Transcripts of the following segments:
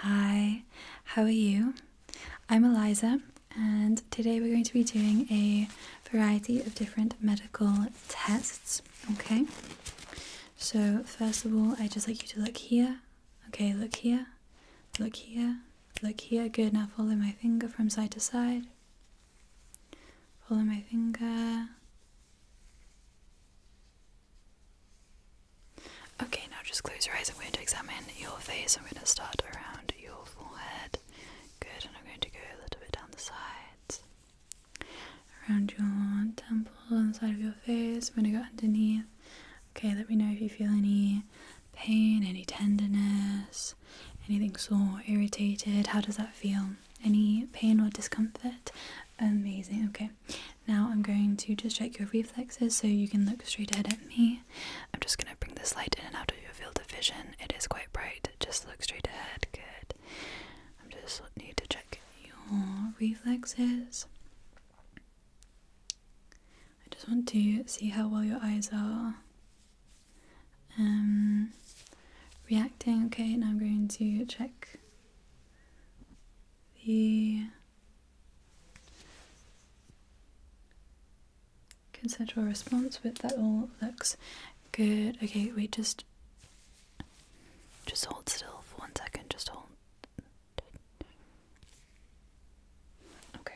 Hi, how are you? I'm Eliza, and today we're going to be doing a variety of different medical tests. Okay, so first of all, I just like you to look here. Okay, look here, look here, look here. Good, now follow my finger from side to side. Follow my finger. Okay, now just close your eyes. I'm going to examine your face. I'm going to start around your forehead. Good, and I'm going to go a little bit down the sides. Around your temple, inside of your face. I'm going to go underneath. Okay, let me know if you feel any pain, any tenderness, anything sore, irritated. How does that feel? Any pain or discomfort? Amazing. Okay, now I'm going to just check your reflexes so you can look straight ahead at me. I'm just going to bring this light in and out of your field of vision. It is quite bright. Just look straight ahead. Good. I'm just need to check your reflexes. I just want to see how well your eyes are um, reacting. Okay, now I'm going to check the Consensual response, but that all looks good. Okay, wait, just just hold still for one second, just hold. Okay.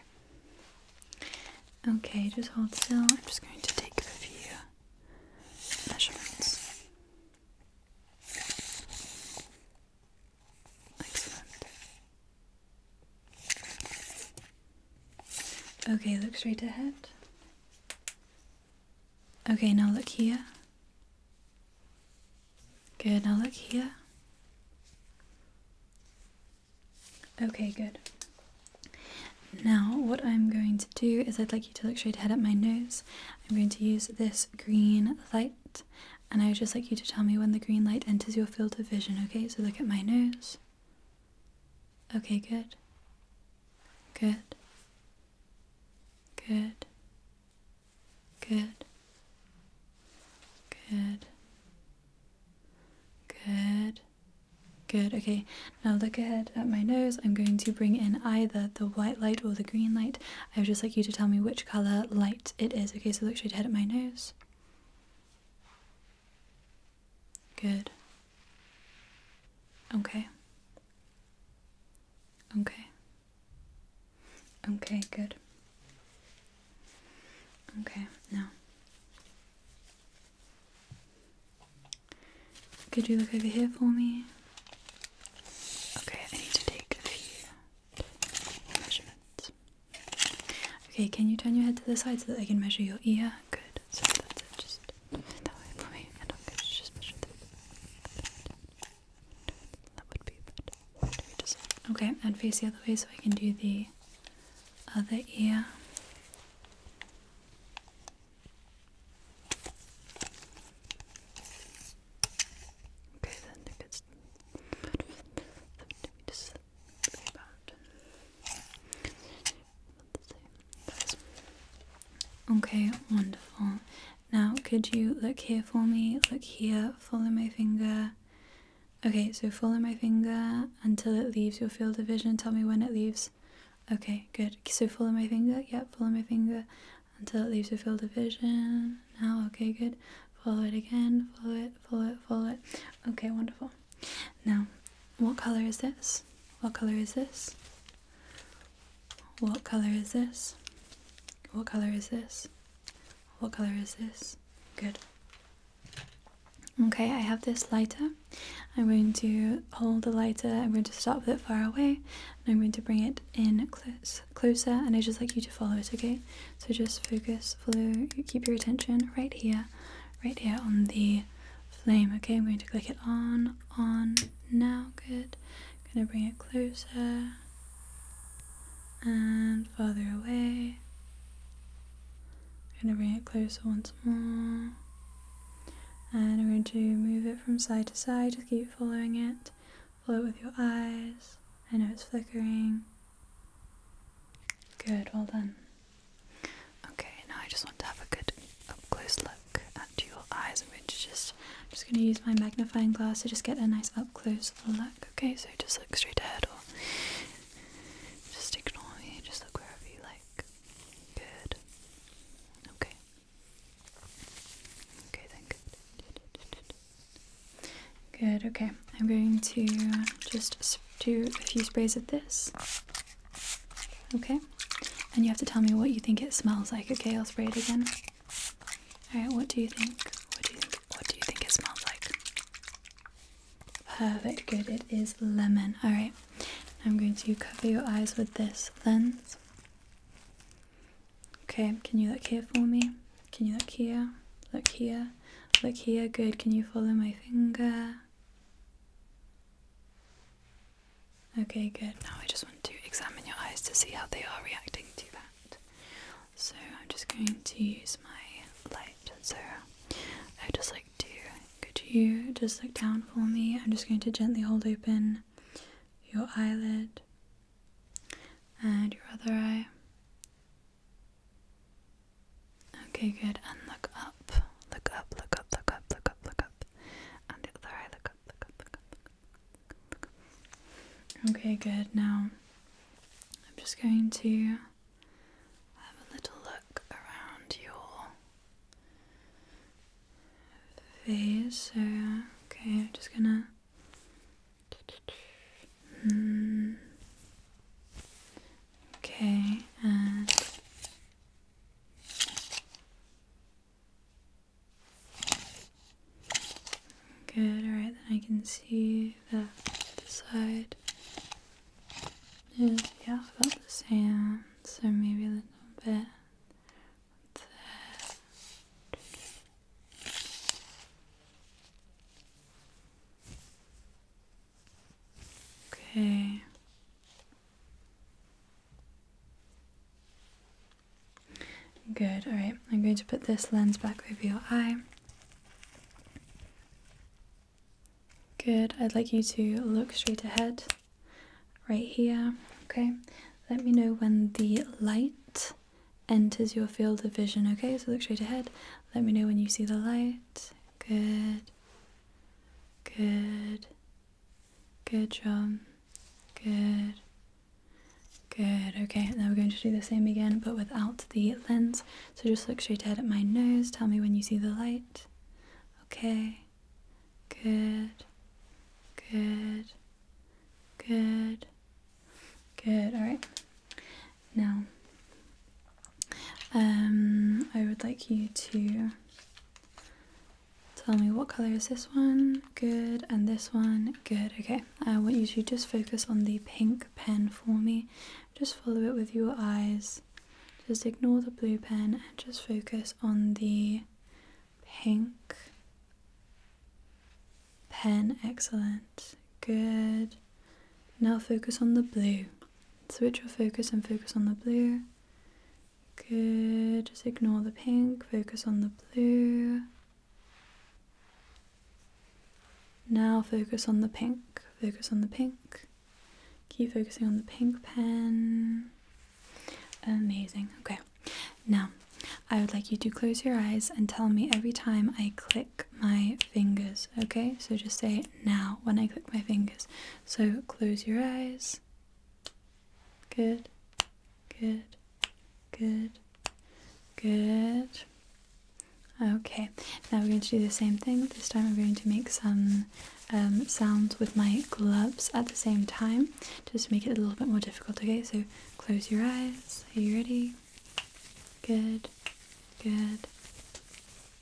Okay, just hold still. I'm just going to take a few measurements. Okay, look straight ahead. Okay, now look here. Good, now look here. Okay, good. Now, what I'm going to do is I'd like you to look straight ahead at my nose. I'm going to use this green light and I would just like you to tell me when the green light enters your field of vision, okay? So look at my nose. Okay, good. Good. Good. Good. Good. Good. Good. Okay, now look ahead at my nose. I'm going to bring in either the white light or the green light. I would just like you to tell me which color light it is. Okay, so look straight ahead at my nose. Good. Okay. Okay. Okay, good. Okay, now. Could you look over here for me? Okay, I need to take a few Okay, can you turn your head to the side so that I can measure your ear? Good. Just that way for just measure that. would be better. Okay, and face the other way so I can do the other ear. Okay, then if it's Okay, wonderful. Now, could you look here for me? Look here, follow my finger. Okay, so follow my finger until it leaves your field of vision. Tell me when it leaves. Okay, good. So follow my finger. Yep, follow my finger until it leaves your field of vision. Now, okay, good. Follow it again. Follow it, follow it, follow it. Okay, wonderful. Now, what color is this? What color is this? What color is this? What color is this? What color is this? Good. Okay, I have this lighter. I'm going to hold the lighter, I'm going to stop it far away, and I'm going to bring it in close, closer and I just like you to follow it, okay? So just focus, follow, keep your attention right here, right here on the flame, okay? I'm going to click it on, on, now, good. I'm gonna bring it closer and farther away. I'm gonna bring it closer once more. And I'm going to move it from side to side, just keep following it. Follow it with your eyes. I know it's flickering. Good, well done. Okay, now I just want to have a good up close look at your eyes. which is just, I'm just going to use my magnifying glass to just get a nice up close look. Okay, so just look straight ahead or just ignore me. Just look wherever you like. Good. Okay. Okay, then good. Good, okay. I'm going to just do a few sprays of this. Okay. And you have to tell me what you think it smells like. Okay, I'll spray it again. Alright, what do you think? What do you think? What do you think it smells like? Perfect, good. It is lemon. Alright. I'm going to cover your eyes with this lens. Okay, can you look here for me? Can you look here? Look here. Look here. Good. Can you follow my finger? Okay, good. Now I just want to examine your eyes to see how they are reacting to that. So I'm just going to use my light. So I just like to. Could you just look down for me? I'm just going to gently hold open your eyelid. And your other eye. Okay, good. And look up. Look up, look up, look up, look up, look up. And the other eye, look up, look up, look up, look up, Okay, good. Now, I'm just going to have a little look around your face. So, okay, I'm just gonna Okay, and good. All right, then I can see the this side is yeah about the same, so maybe a little bit. That. Okay. Good. All right. I'm going to put this lens back over your eye. Good. I'd like you to look straight ahead right here. Okay. Let me know when the light enters your field of vision. Okay, so look straight ahead. Let me know when you see the light. Good. Good. Good job. Good. Good. Okay, now we're going to do the same again but without the lens. So just look straight ahead at my nose. Tell me when you see the light. Okay. Good. Good. Good. Good. All right. Now, um, I would like you to tell me what color is this one? Good. And this one? Good. Okay. I want you to just focus on the pink pen for me. Just follow it with your eyes. Just ignore the blue pen and just focus on the pink Pen, excellent. Good. Now focus on the blue. Switch your focus and focus on the blue. Good. Just ignore the pink, focus on the blue. Now focus on the pink, focus on the pink. Keep focusing on the pink pen. Amazing. Okay. Now, I would like you to close your eyes and tell me every time I click my fingers, okay? So just say now when I click my fingers. So close your eyes. Good, good, good, good. Okay, now we're going to do the same thing. This time I'm going to make some um, sounds with my gloves at the same time, just to make it a little bit more difficult, okay? So close your eyes. Are you ready? Good. Good.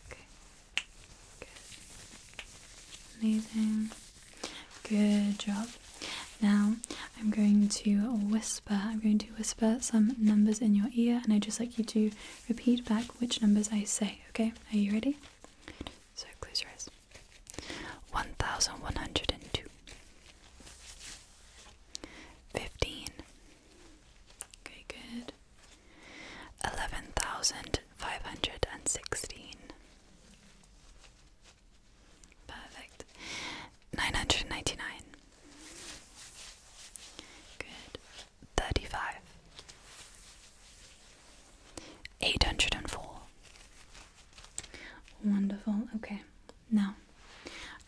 Okay. Good. Amazing. Good job. Now I'm going to whisper. I'm going to whisper some numbers in your ear, and I just like you to repeat back which numbers I say. Okay? Are you ready? So close your eyes. One thousand one hundred and two. Fifteen. Okay, good. Eleven thousand five hundred and sixteen. Perfect. Nine hundred ninety nine. Good. Thirty five. Eight hundred and four. Wonderful. Okay. Now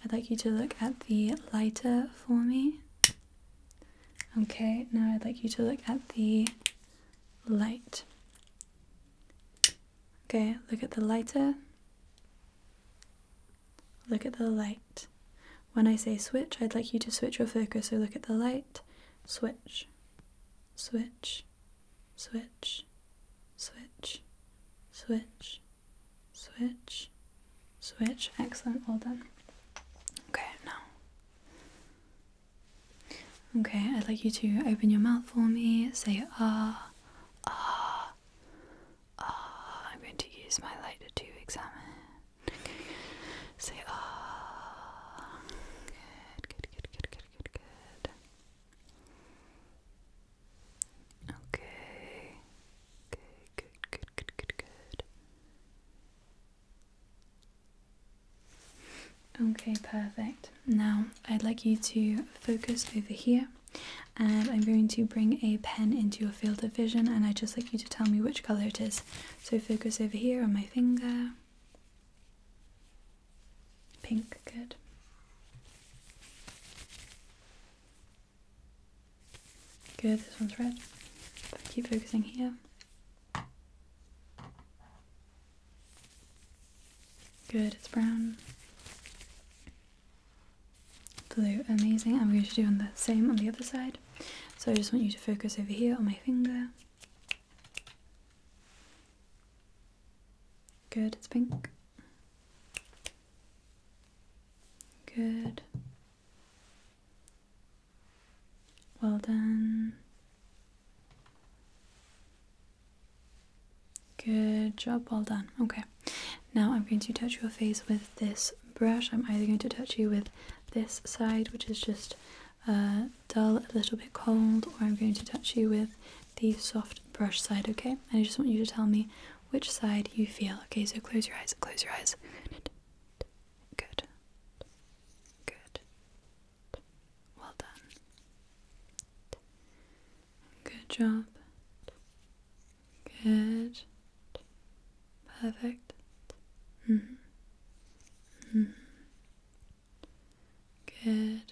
I'd like you to look at the lighter for me. Okay, now I'd like you to look at the light. Okay, look at the lighter. Look at the light. When I say switch, I'd like you to switch your focus. or look at the light, switch, switch, switch, switch, switch, switch, switch. Excellent, well done. Okay, now. Okay, I'd like you to open your mouth for me. Say ah, ah, ah. I'm going to use my lighter to examine. Say ah. good, good, good, good, good, good. Okay. Okay, good, good, good, good, good. Okay, perfect. Now I'd like you to focus over here and I'm going to bring a pen into your field of vision and I'd just like you to tell me which colour it is. So focus over here on my finger. Pink, good. Good, this one's red. keep focusing here. Good, it's brown. Blue, amazing. I'm going to do on the same on the other side. So I just want you to focus over here on my finger. Good, it's pink. Good. Well done. Good job, well done. Okay, now I'm going to touch your face with this brush. I'm either going to touch you with this side, which is just uh, dull, a little bit cold, or I'm going to touch you with the soft brush side, okay? And I just want you to tell me which side you feel. Okay, so close your eyes, close your eyes. Good. Good. Well done. Good job. Good. Perfect. -hmm. -hmm. Good.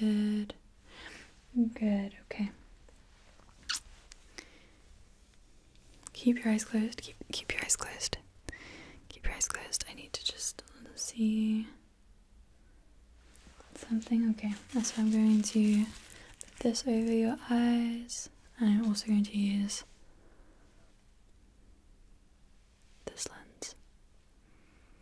Good. Good. Okay. Keep your eyes closed. Keep keep your eyes closed. Keep your eyes closed. I need to just see something. Okay. So I'm going to put this over your eyes. And I'm also going to use this lens.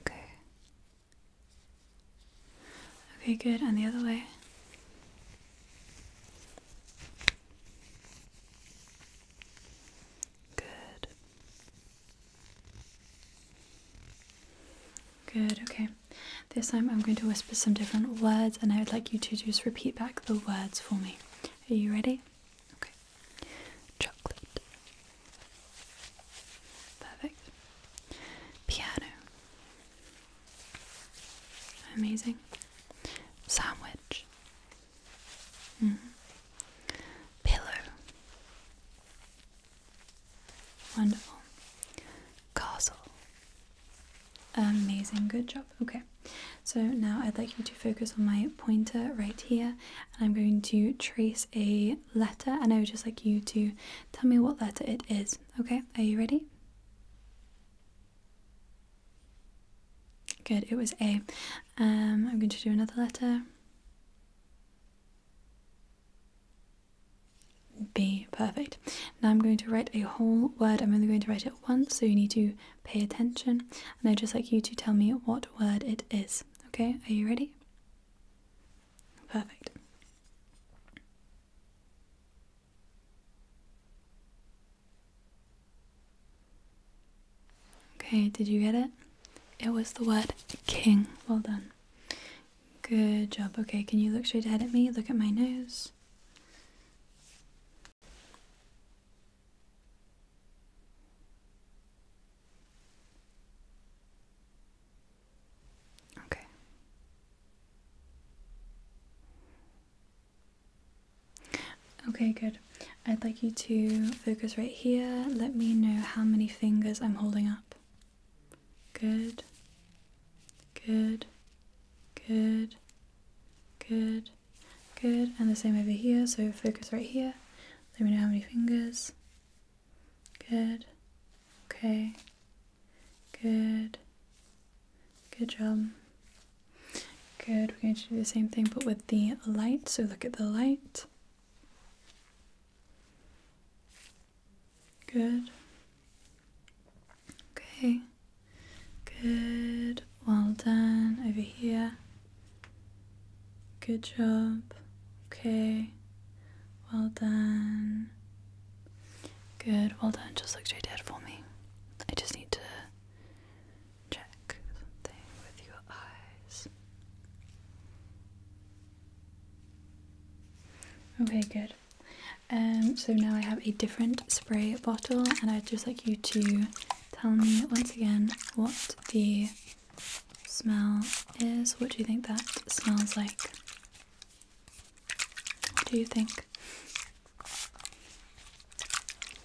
Okay. Okay, good. And the other way. Good. Good, okay. This time I'm going to whisper some different words and I would like you to just repeat back the words for me. Are you ready? Okay. Chocolate. Perfect. Piano. Amazing. Sandwich. Mm-hmm. Pillow. Wonderful. Castle. Amazing. Good job. Okay. So now I'd like you to focus on my pointer right here I'm going to trace a letter and I would just like you to tell me what letter it is. Okay, are you ready? Good, it was A. am um, going to do another letter. B, perfect. Now I'm going to write a whole word. I'm only going to write it once, so you need to pay attention. And I just like you to tell me what word it is. Okay, are you ready? Perfect. Okay, did you get it? It was the word king. Well done. Good job. Okay, can you look straight ahead at me? Look at my nose. Okay. Okay, good. I'd like you to focus right here. Let me know how many fingers I'm holding up. Good. Good. Good. Good. Good. And the same over here. So focus right here. Let me know how many fingers. Good. Okay. Good. Good job. Good. We're going to do the same thing but with the light. So look at the light. Good. Okay. Good. Well done. Over here. Good job. Okay. Well done. Good. Well done. Just look straight ahead for me. I just need to check something with your eyes. Okay, good. Um, so now I have a different spray bottle, and I'd just like you to tell me once again what the smell is. What do you think that smells like? What do you think?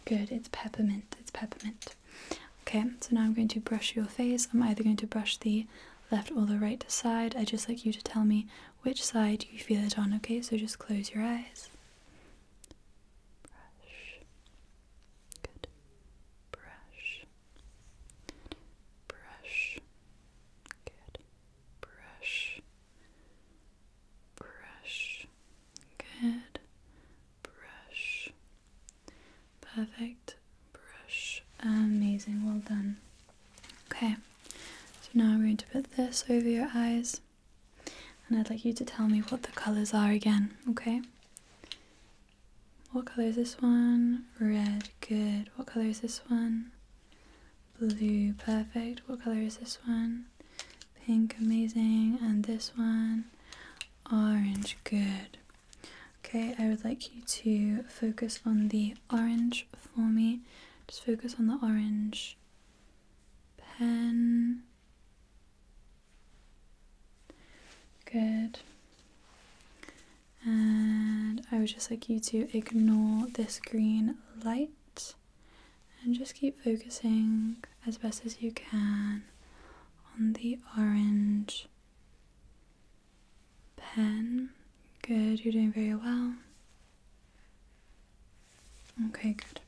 Good, it's peppermint. It's peppermint. Okay, so now I'm going to brush your face. I'm either going to brush the left or the right side. i just like you to tell me which side you feel it on, okay? So just close your eyes. Brush. Good. Brush. Brush. Good. Brush. Brush. Good. Brush. Perfect. Brush. Amazing. Well done. Okay. So now I'm going to put this over your eyes. And I'd like you to tell me what the colours are again, okay? What color is this one? Red, good. What color is this one? Blue, perfect. What color is this one? Pink, amazing. And this one? Orange, good. Okay, I would like you to focus on the orange for me. Just focus on the orange pen. Good. And I would just like you to ignore this green light and just keep focusing as best as you can on the orange pen. Good, you're doing very well. Okay, good.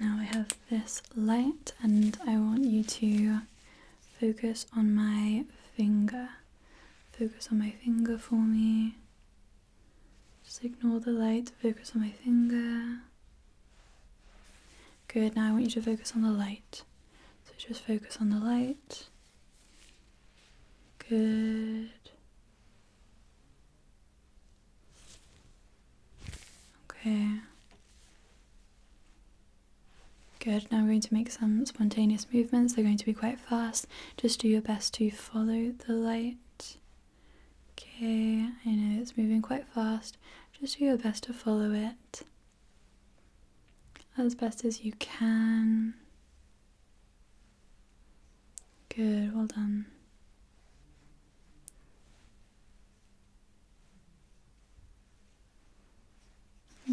Now I have this light and I want you to focus on my finger. Focus on my finger for me. Just ignore the light, focus on my finger. Good, now I want you to focus on the light. So just focus on the light. Good. Okay. Good, now we're going to make some spontaneous movements. They're going to be quite fast. Just do your best to follow the light. Okay, I know it's moving quite fast. Just do your best to follow it as best as you can. Good, well done.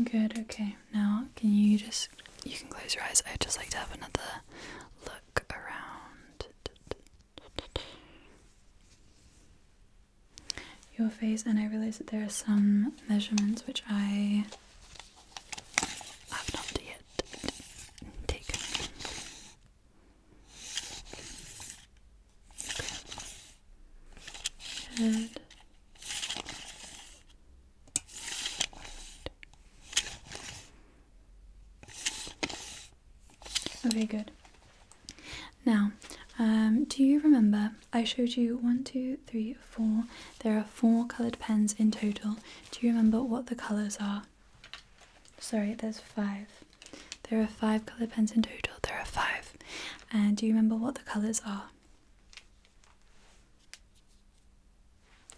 Good, okay. Now, can you just. You can close your eyes. I'd just like to have another look around. Your face, and I realize that there are some measurements which I have not yet taken. Okay, good. Now, um, do you remember I showed you one, two, three, four? There are four coloured pens in total. Do you remember what the colours are? Sorry, there's five. There are five colour pens in total. There are five. And do you remember what the colours are?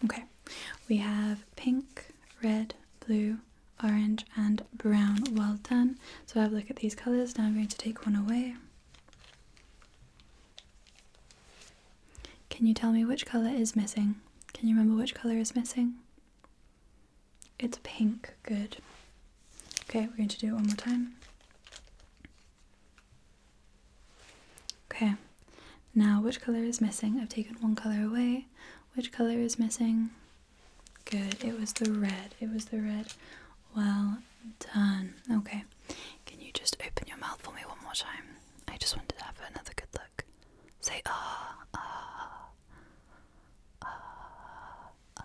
Okay, we have pink, red, blue, orange, and brown. Well done. So I have a look at these colours. Now I'm going to take one away. Can you tell me which colour is missing? Can you remember which colour is missing? It's pink. Good. Okay, we're going to do it one more time. Okay, now which color is missing? I've taken one color away. Which color is missing? Good, it was the red. It was the red. Well done. Okay, can you just open your mouth for me one more time? I just wanted to have another good look. Say ah, ah, ah, ah.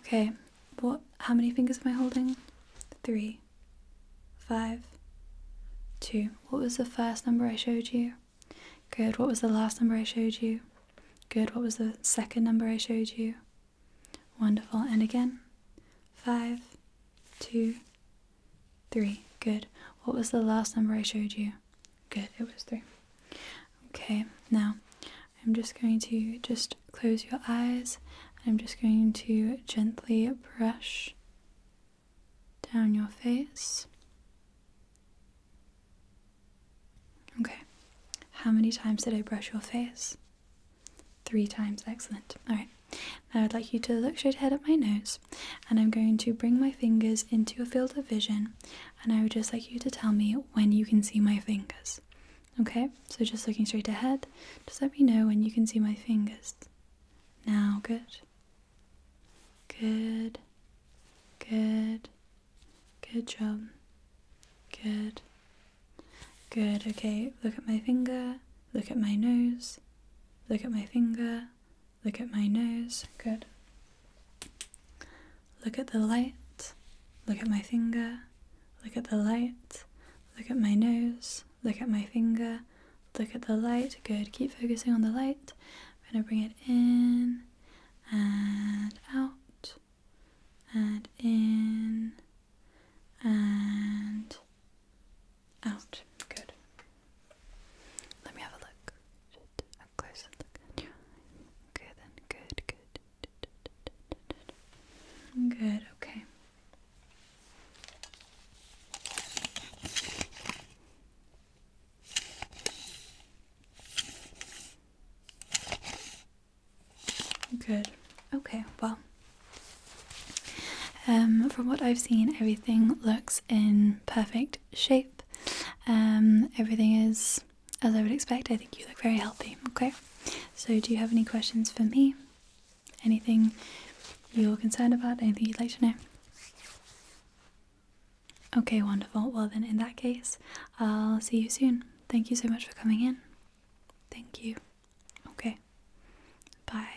Okay, what how many fingers am I holding? Three, five, two. What was the first number I showed you? Good. What was the last number I showed you? Good. What was the second number I showed you? Wonderful. And again. Five, two, three. Good. What was the last number I showed you? Good, it was three. Okay, now I'm just going to just close your eyes. I'm just going to gently brush down your face. Okay, how many times did I brush your face? Three times, excellent. All right, now I'd like you to look straight ahead at my nose, and I'm going to bring my fingers into a field of vision, and I would just like you to tell me know when you can see my fingers. Okay, so just looking straight ahead, just let me know when you can see my fingers. Now, good. Good. Good. Good job. Good. Good, okay, look at my finger, look at my nose, look at my finger, look at my nose. Good. Look at the light, look at my finger, look at the light, look at my nose, look at my finger, look at the light. Good, keep focusing on the light. I'm going to bring it in and out and in and out. Good. Let me have a look. Close closer look at your Good good, good. Good, okay. Good. Okay, well, um, from what I've seen, everything looks in perfect shape. Um, everything is as I would expect, I think you look very healthy, okay? So, do you have any questions for me? Anything you're concerned about? Anything you'd like to know? Okay, wonderful. Well, then, in that case, I'll see you soon. Thank you so much for coming in. Thank you. Okay. Bye.